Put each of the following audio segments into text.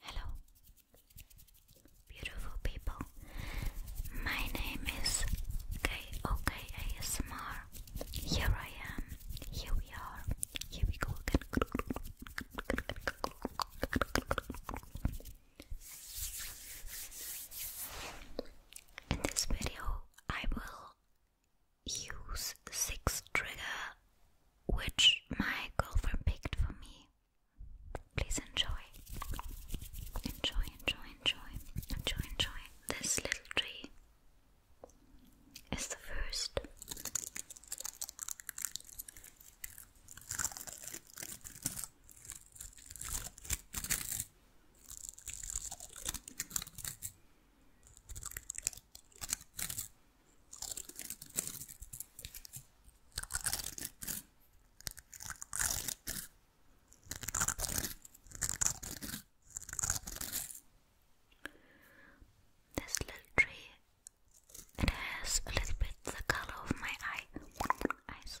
Hello, beautiful people. My name is KOKASMR. Here I am. Here we are. Here we go again. In this video, I will use the trigger which my girlfriend picked for me. Please enjoy. Enjoy, enjoy, enjoy, enjoy, enjoy. This little tree is the first. This little tree, it has a little bit the color of my eye eyes.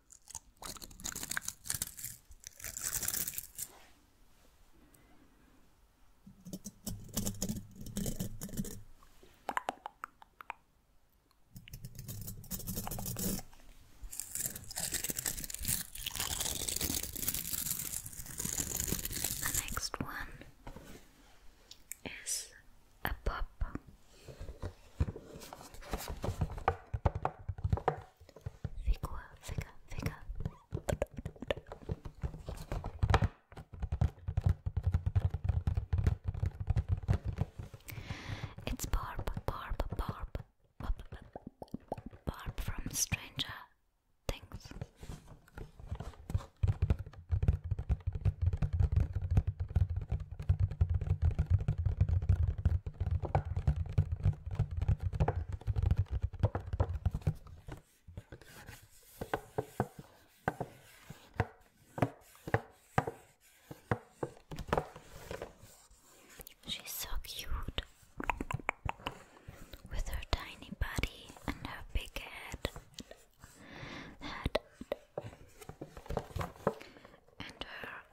The next one is a pop Figure, figure, figure. It's Barb, Barb, Barb, Barb, from Stranger Things. She's so cute with her tiny body and her big head, head and her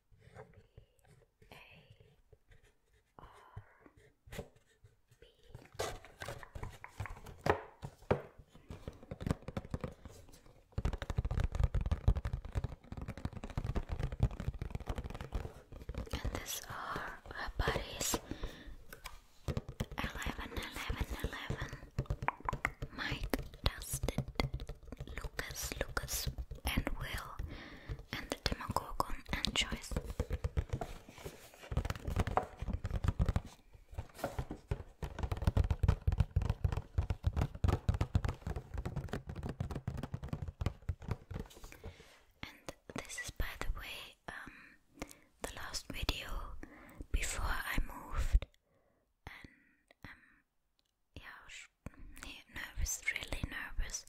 A R B. And these are her Eleven, eleven, eleven. Mike, Dusted, Lucas, Lucas, and Will, and the Demagogon and Joyce. And this is, by the way, um, the last video before I moved, and um, yeah, I was nervous, really nervous.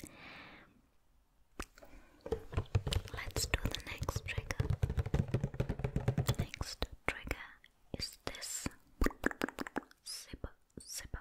Let's do the next trigger. next trigger is this zipper, zipper.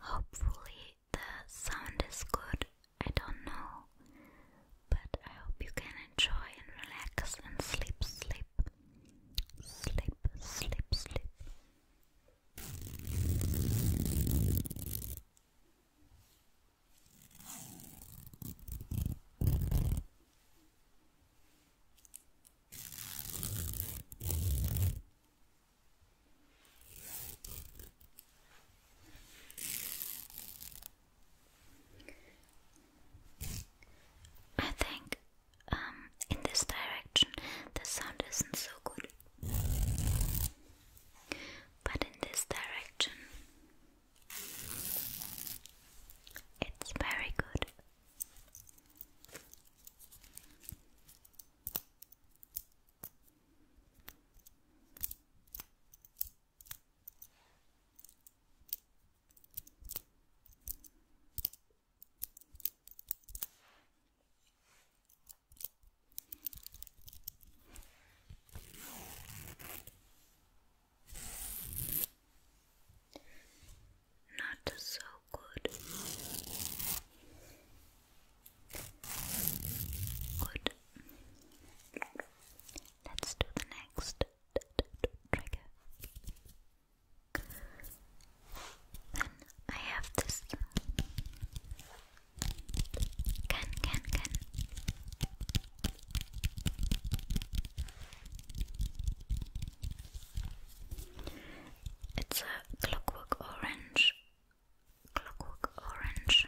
Hopefully, the sound is good. I don't know, but I hope you can enjoy and relax and sleep, sleep, sleep, sleep, sleep. I think um, in this direction the sound isn't so good but in this direction. It's very good. Not so good. Good. Let's do the next trigger. Then I have this Gun, gun, gun. It's a clockwork orange. Clockwork orange.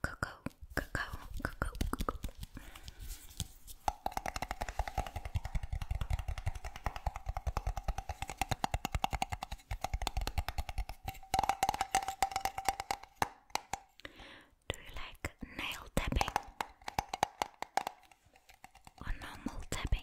Cocoa, cocoa, cocoa, cocoa. Do you like nail tapping or normal tapping?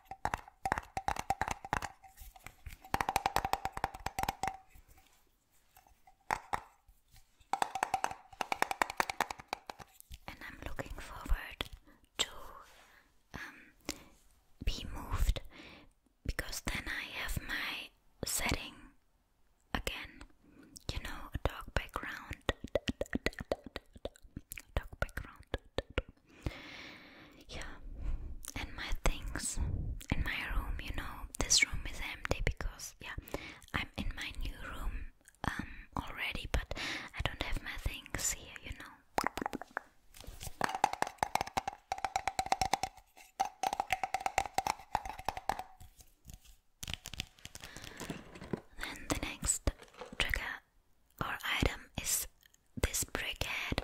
And I'm looking forward to um, be moved because then I have my setting again, you know, a dark background background. Dark background. Yeah, and my things in my room, you know, this room is empty because, yeah, I'm in my new room um, already, but I don't have my things here, you know. Then the next trigger our item is this brickhead.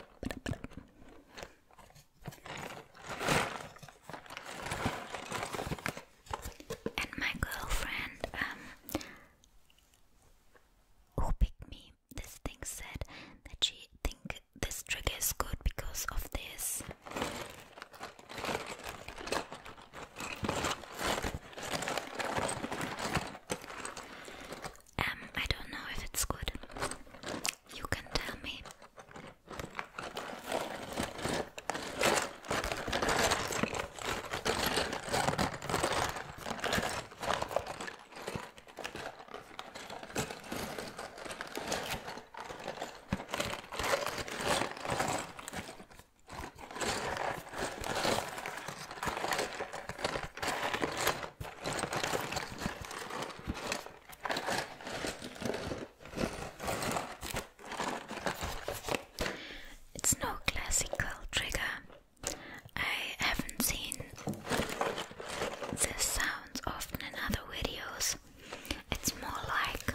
And my girlfriend, um, who picked me, this thing said that she think this trigger is good because of this. Um, I don't know if it's good. You can tell me. It's no classical trigger. I haven't seen this sound often in other videos. It's more like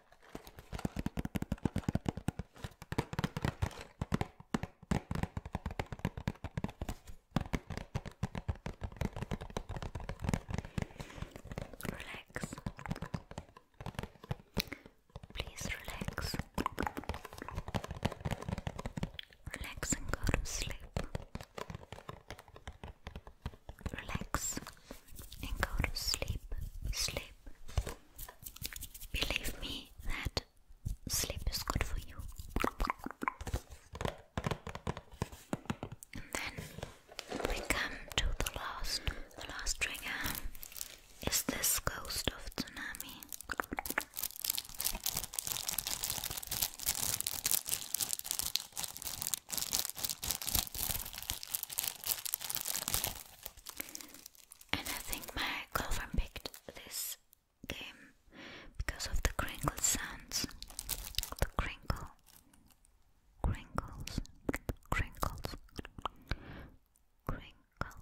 Relax. Please relax. Relax and go to sleep. Relax, and go to sleep. Sleep. Believe me that sleep is good for you. And then we come to the last. The last trigger is this ghost of tsunami. And I think my girlfriend picked this game because of the crinkle sounds. The crinkle, crinkles, crinkles, crinkles, crinkles.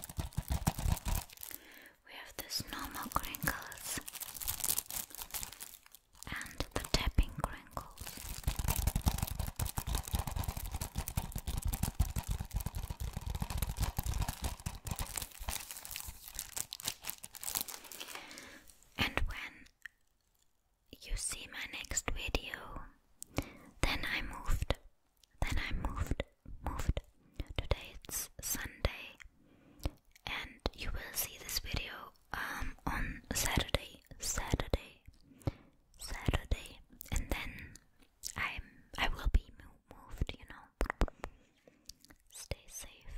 We have this normal crinkles and the tapping crinkles. And when you see my next video, then I moved then I moved, moved. Today it's Sunday, and you will see this video um, on Saturday, Saturday, Saturday, and then I I will be moved. You know. Stay safe.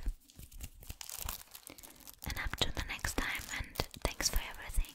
And up to the next time, and thanks for everything.